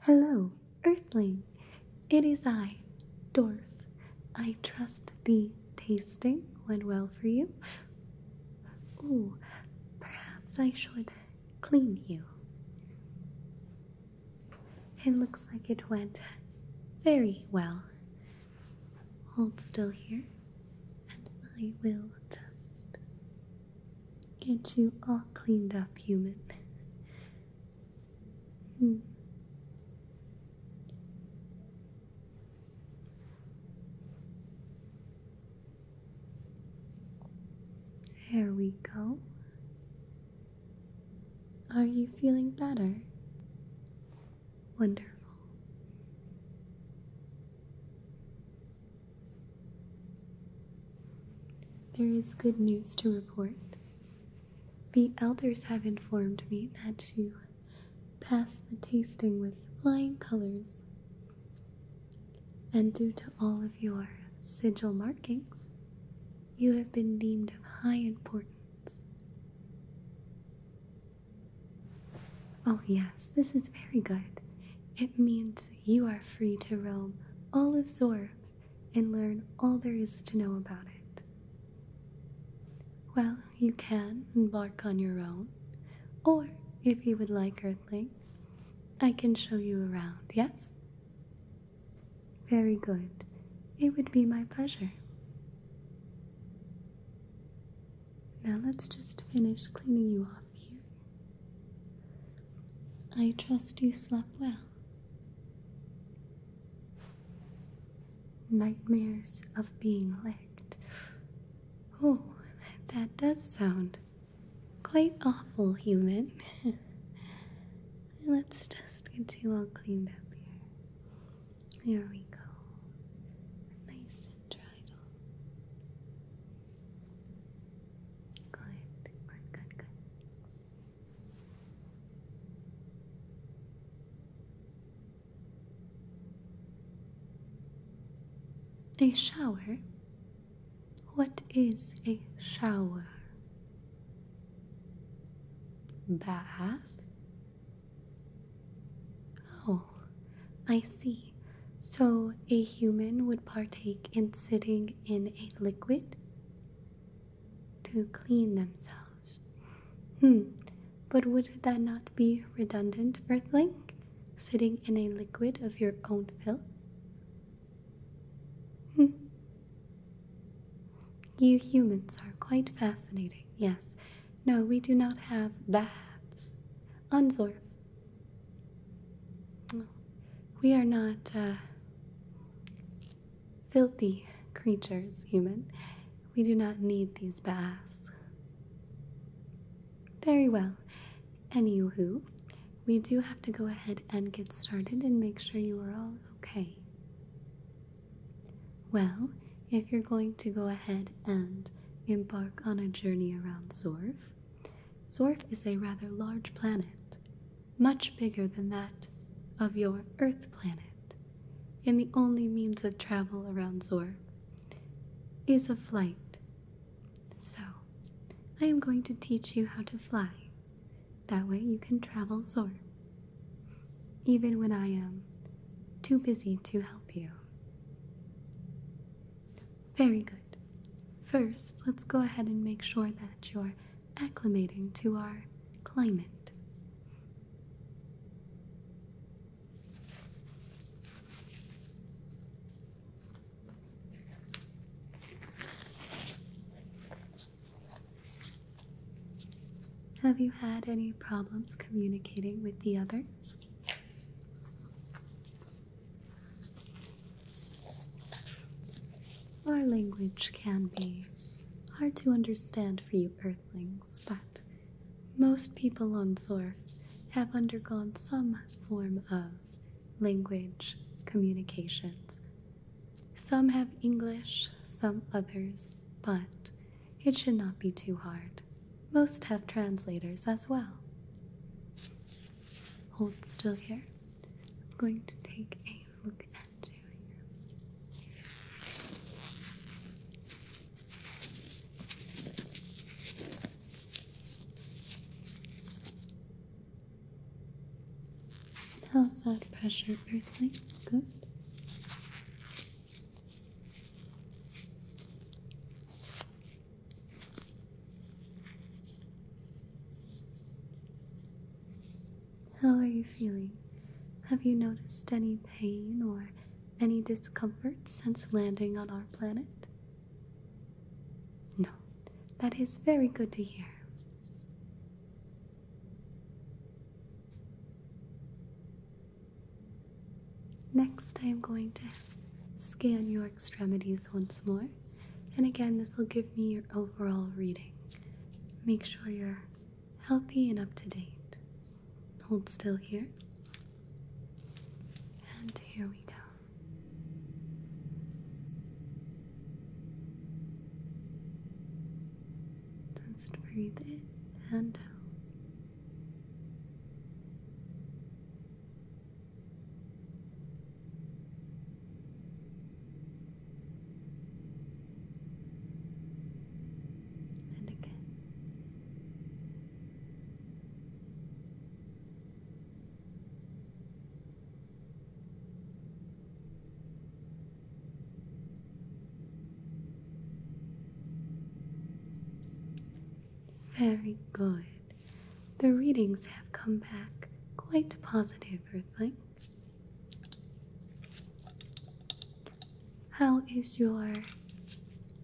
Hello, Earthling. It is I, Dwarf. I trust the tasting went well for you. Oh, perhaps I should clean you. It looks like it went very well. Hold still here, and I will just get you all cleaned up, human. Hmm. Here we go. Are you feeling better? Wonderful. There is good news to report. The elders have informed me that you passed the tasting with flying colors. And due to all of your sigil markings, you have been deemed of high importance. Oh, yes, this is very good. It means you are free to roam all of Zorb and learn all there is to know about it. Well, you can embark on your own, or if you would like, Earthling, I can show you around, yes? Very good. It would be my pleasure. Now let's just finish cleaning you off here. I trust you slept well. Nightmares of being licked. Oh, that does sound quite awful human. Let's just get you all cleaned up here. Here we go. Nice and dried good. A shower what is a shower? Bath? Oh, I see. So a human would partake in sitting in a liquid to clean themselves. Hmm, but would that not be redundant, Earthling? sitting in a liquid of your own fill? Hmm. You humans are quite fascinating, yes. No, we do not have baths. Unzorf. We are not uh, filthy creatures, human. We do not need these baths. Very well. Anywho, we do have to go ahead and get started and make sure you are all okay. Well, if you're going to go ahead and embark on a journey around Zorf, Zorf is a rather large planet, much bigger than that of your Earth planet. And the only means of travel around Zorf is a flight so, I am going to teach you how to fly. That way you can travel soar. Even when I am too busy to help you. Very good. First, let's go ahead and make sure that you're acclimating to our climate. Have you had any problems communicating with the others? Our language can be hard to understand for you earthlings, but most people on Zorf have undergone some form of language, communications. Some have English, some others, but it should not be too hard. Most have translators as well. Hold still here. I'm going to take a look at you How's that pressure, Berkeley? Good. How are you feeling? Have you noticed any pain or any discomfort since landing on our planet? No, that is very good to hear. Next, I am going to scan your extremities once more, and again, this will give me your overall reading. Make sure you're healthy and up to date. Hold still here. And here we go. Just breathe in and out. And again. Very good. The readings have come back quite positive, Earthling. How is your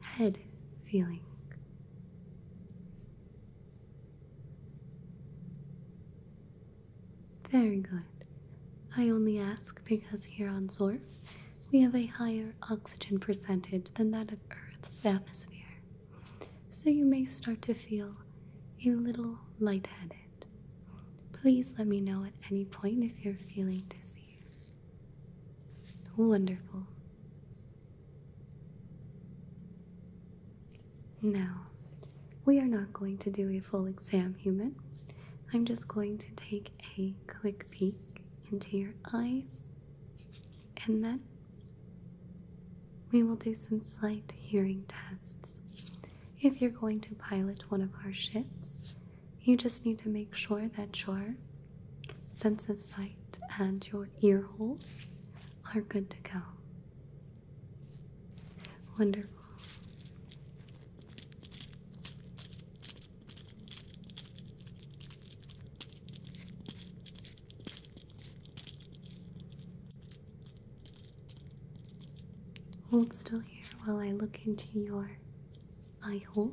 head feeling? Very good. I only ask because here on Zor, we have a higher oxygen percentage than that of Earth's atmosphere. So you may start to feel a little light-headed. Please let me know at any point if you're feeling dizzy. Wonderful. Now, we are not going to do a full exam, human. I'm just going to take a quick peek into your eyes and then we will do some slight hearing tests. If you're going to pilot one of our ships, you just need to make sure that your sense of sight and your ear holes are good to go. Wonderful. Hold still here while I look into your eye holes.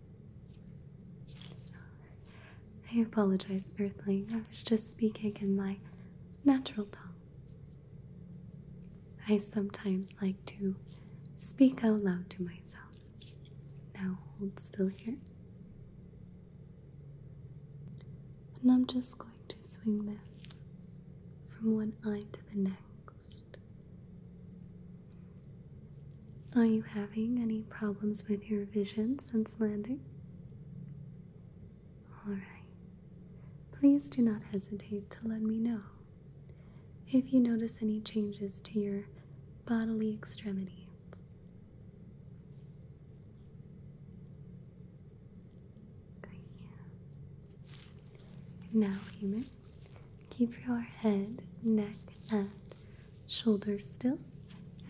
I apologize, Earthling. I was just speaking in my natural tongue. I sometimes like to speak out loud to myself. Now hold still here. And I'm just going to swing this from one eye to the next. Are you having any problems with your vision since landing? Alright. Please do not hesitate to let me know if you notice any changes to your bodily extremities. Now, human, keep your head, neck, and shoulders still,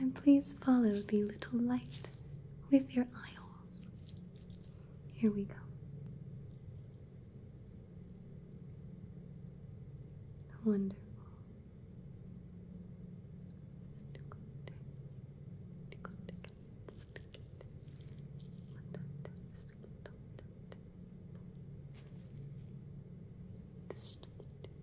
and please follow the little light with your eye holes. Here we go. Wonderful.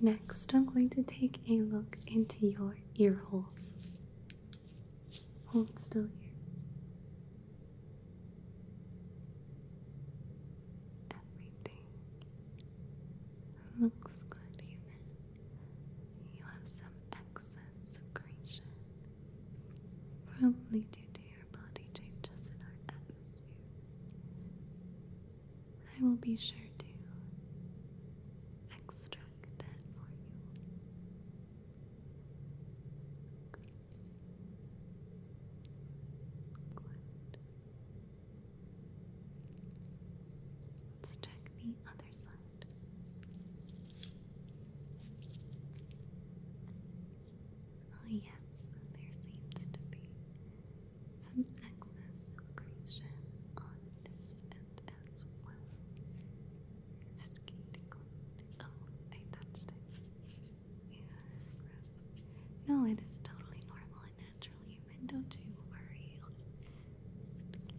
Next, I'm going to take a look into your ear holes. Hold still here. Everything looks good, human. You have some excess secretion, probably due to your I will be sure to extract that for you. Let's check the other side. Oh, yes, there seems to be some excess secretion on this end as well. Skating Oh, I touched it. Yeah, No, it is totally normal and natural, human. Don't you worry. Skating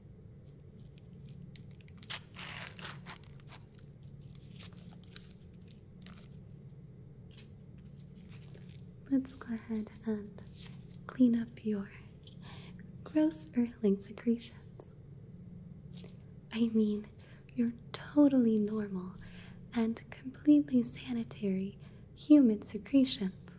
Let's go ahead and clean up your gross earthling secretions. I mean, you're totally normal and completely sanitary human secretions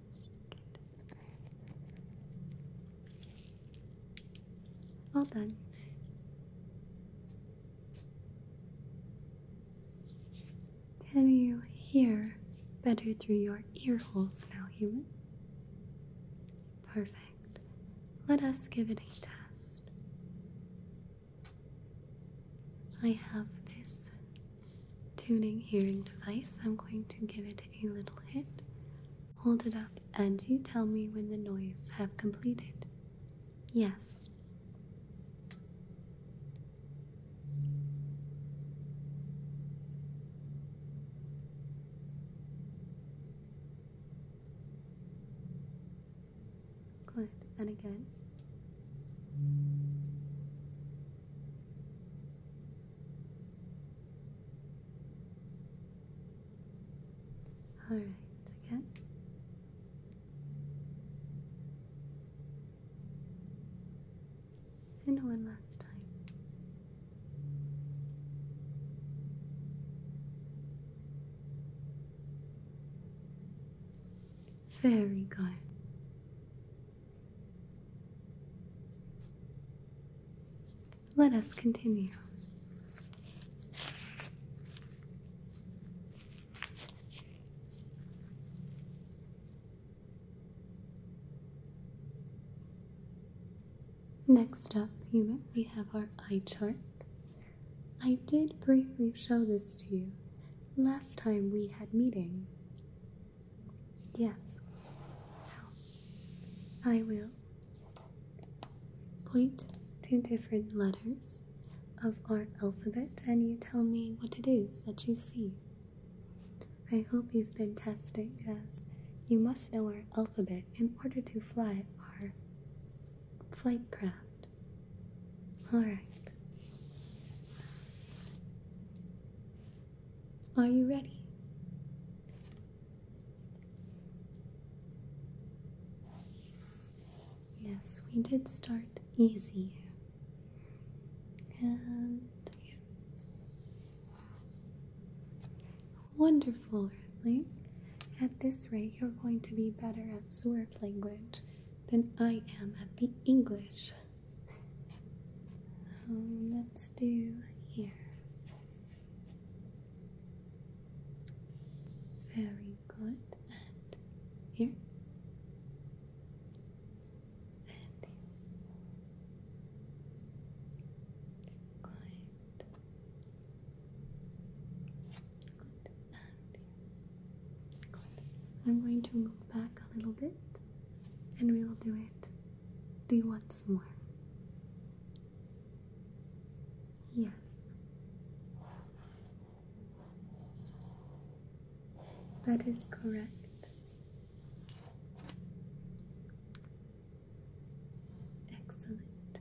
All done. Can you hear better through your ear holes now, human? Perfect. Let us give it a test. I have this tuning hearing device. I'm going to give it a little hit. Hold it up and you tell me when the noise have completed. Yes. Good. And again. All right, again. And one last time. Very good. Let us continue. Next up, human, we have our eye chart. I did briefly show this to you last time we had meeting. Yes. So I will point to different letters of our alphabet and you tell me what it is that you see. I hope you've been tested, guys. you must know our alphabet in order to fly our flight craft. Alright. Are you ready? Yes, we did start easy. And here. Wonderful, Earthling. At this rate, you're going to be better at Zwerf language than I am at the English. Um, let's do here. Very good. And here. Good. Good. I'm going to move back a little bit and we will do it the once more. Yes. That is correct. Excellent.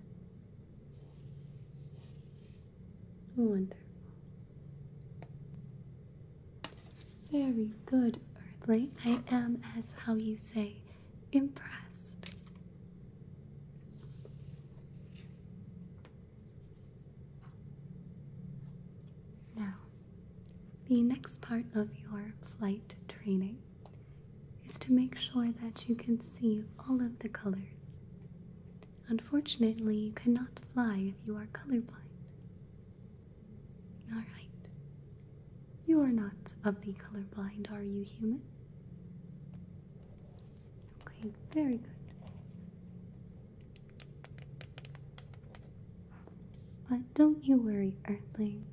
Wonderful. Very good, Earthling. I am, as how you say, impressed. Now, the next part of your flight training is to make sure that you can see all of the colors. Unfortunately, you cannot fly if you are colorblind. All right. You are not of the color blind, are you, human? Okay, very good. But don't you worry, Earthling.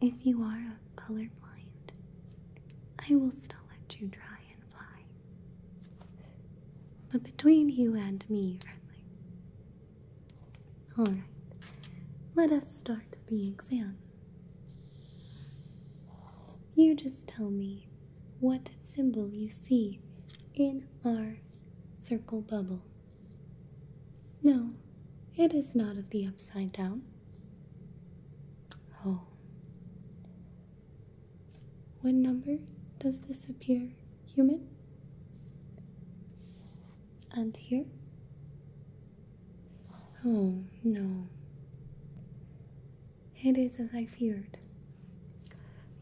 If you are color blind, I will still let you dry and fly but between you and me, friend. Alright, let us start the exam. You just tell me what symbol you see in our circle bubble. No, it is not of the upside down. Oh. What number does this appear human? And here? Oh no. It is as I feared.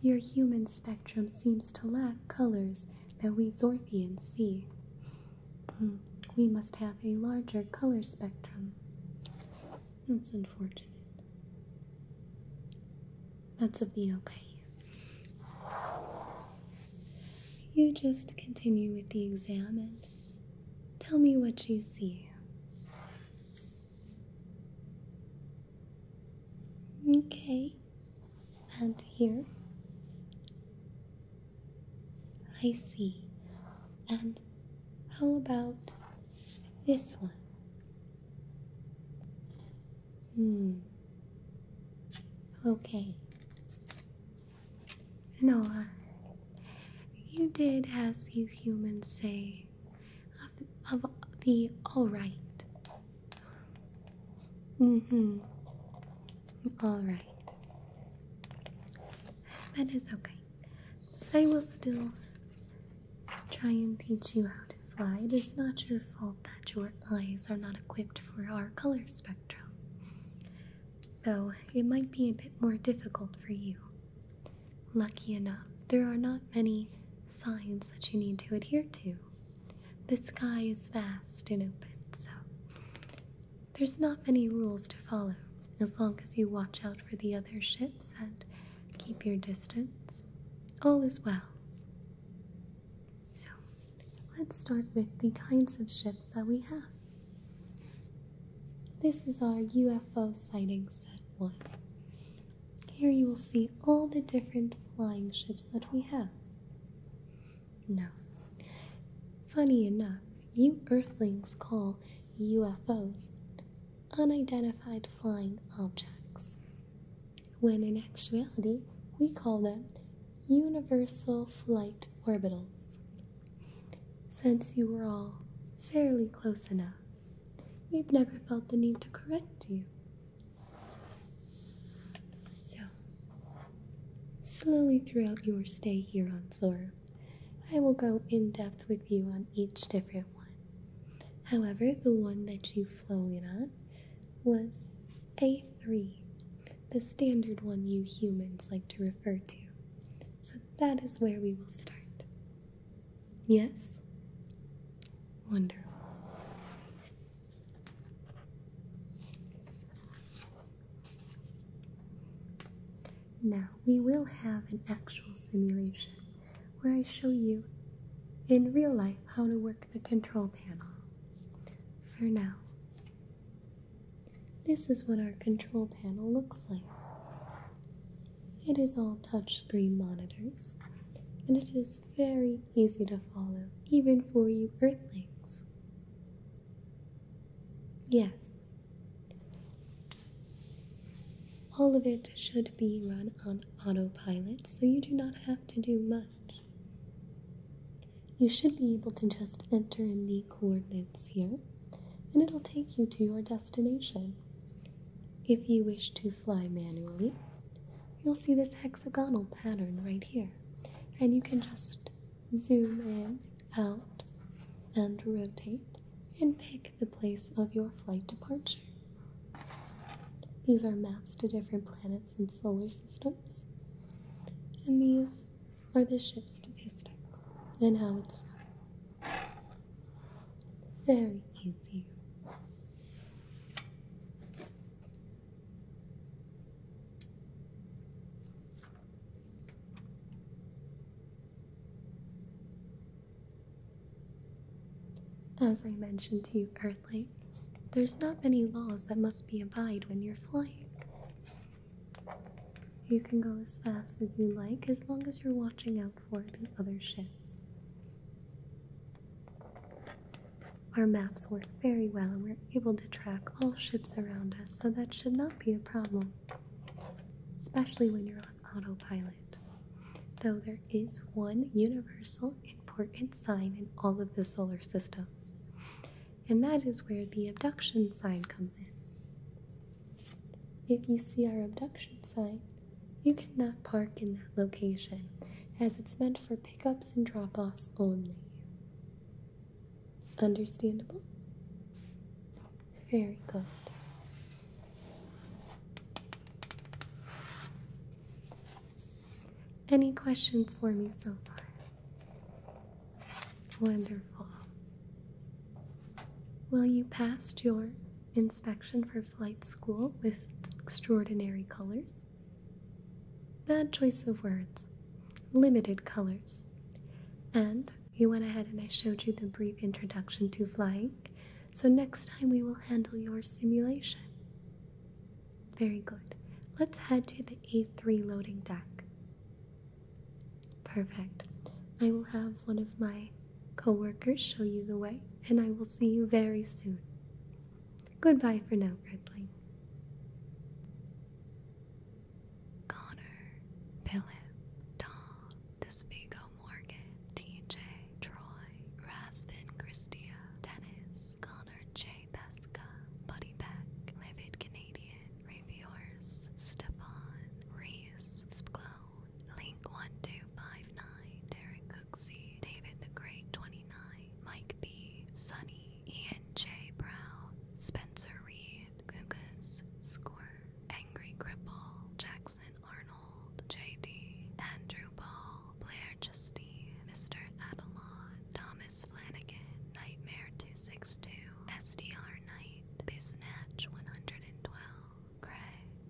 Your human spectrum seems to lack colors that we Zorthians see. Hmm, we must have a larger color spectrum. That's unfortunate. That's of okay. You just continue with the exam and tell me what you see. Okay, and here. I see. And how about this one? Hmm. Okay. Noah, you did as you humans say of of the all right. Mm-hmm. All right. That is okay. I will still try and teach you how to fly. It is not your fault that your eyes are not equipped for our color spectrum, though it might be a bit more difficult for you. Lucky enough, there are not many signs that you need to adhere to. The sky is vast and open, so there's not many rules to follow as long as you watch out for the other ships and keep your distance. All is well. So let's start with the kinds of ships that we have. This is our UFO sighting set one. Here you will see all the different flying ships that we have. Now, funny enough, you earthlings call UFOs unidentified flying objects when in actuality we call them universal flight orbitals. Since you were all fairly close enough, we've never felt the need to correct you. So, slowly throughout your stay here on Zor, I will go in depth with you on each different one. However, the one that you have flowing on was A3, the standard one you humans like to refer to. So that is where we will start. Yes? Wonderful. Now, we will have an actual simulation where I show you in real life how to work the control panel. For now, this is what our control panel looks like. It is all touch screen monitors, and it is very easy to follow, even for you Earthlings. Yes, all of it should be run on autopilot, so you do not have to do much. You should be able to just enter in the coordinates here, and it'll take you to your destination. If you wish to fly manually, you'll see this hexagonal pattern right here, and you can just zoom in, out, and rotate and pick the place of your flight departure. These are maps to different planets and solar systems. And these are the ship's statistics and how it's running. Very easy. As I mentioned to you, Earthling, there's not many laws that must be abide when you're flying. You can go as fast as you like as long as you're watching out for the other ships. Our maps work very well and we're able to track all ships around us, so that should not be a problem, especially when you're on autopilot. Though there is one universal important sign in all of the solar systems, and that is where the abduction sign comes in. If you see our abduction sign, you cannot park in that location as it's meant for pickups and drop offs only. Understandable? Very good. Any questions for me so far? Wonderful. Well, you passed your inspection for flight school with extraordinary colors. Bad choice of words, limited colors. And you went ahead and I showed you the brief introduction to flying so next time we will handle your simulation. Very good. Let's head to the A3 loading deck. Perfect. I will have one of my coworkers show you the way, and I will see you very soon. Goodbye for now, Redling. Connor, Philip, Tom, Despigo, Morgan, TJ Troy, Rasvin Christia, Dennis, Connor J. Pesca, Buddy Beck, Livid Canadian, Reviewers, Stefan, Reese, Splone, Link1259, Derek Cooksey, David the Great 29, Mike B, Sunny, Ian J. Brown, Spencer Reed, Gugas, Score, Angry Cripple, Jackson Arnold. J.D., Andrew Ball, Blair Justine, Mr. Adelon, Thomas Flanagan, Nightmare 262, SDR Knight, Biznatch 112, Craig,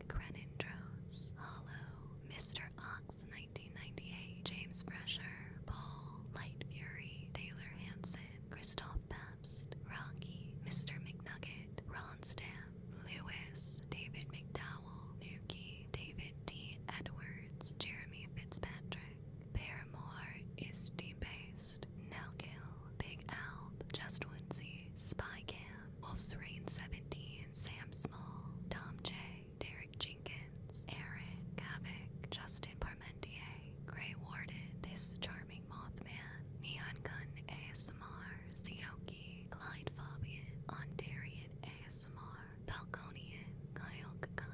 Crenindros, Hollow, Mr. Ox 1998, James Fresher, Paul, Light Fury, Taylor Hanson, Christoph Pabst, Rocky, Mr. McNugget, Ron Stamp, Lewis, David McDowell, Nuki, David D. Edwards, Jeremy Fitzpatrick. Paramore is debased. Nelkill, Big Alp, Just Woodsy, Spy Cam, Wolf's Rain 17, Sam Small, Tom J, Derek Jenkins, Eric, Gavik, Justin Parmentier, Grey Warden, This Charming Mothman, Neon Gun ASMR, Zio Frankie, Clyde Fabian, Ondarian ASMR, Falconian, Kyle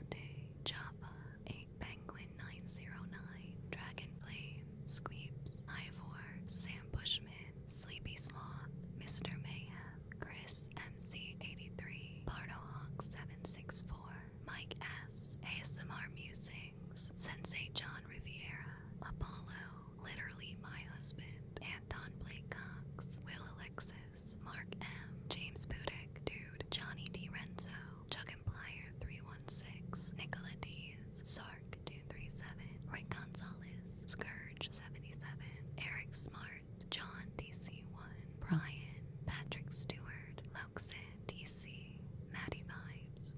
Java, 8 Penguin 909, Dragonflame, Squeeps, Ivor, Sam Bushman, Sleepy Sloth, Mr. Mayhem, Chris MC83, Bardohawk764, Mike S, ASMR Musings, Sensei John Riviera, Apollo, literally my husband, Anton Blake Cox, Will Alexis, Mark M, James Budek, Dude, Johnny D. Renzo, Chuck and Plier 316, Nicola D's, Sark 237, Rick Gonzalez, Scourge 77, Eric Smart, John DC1, Brian, Patrick Stewart, Loxin DC, Maddie Vibes.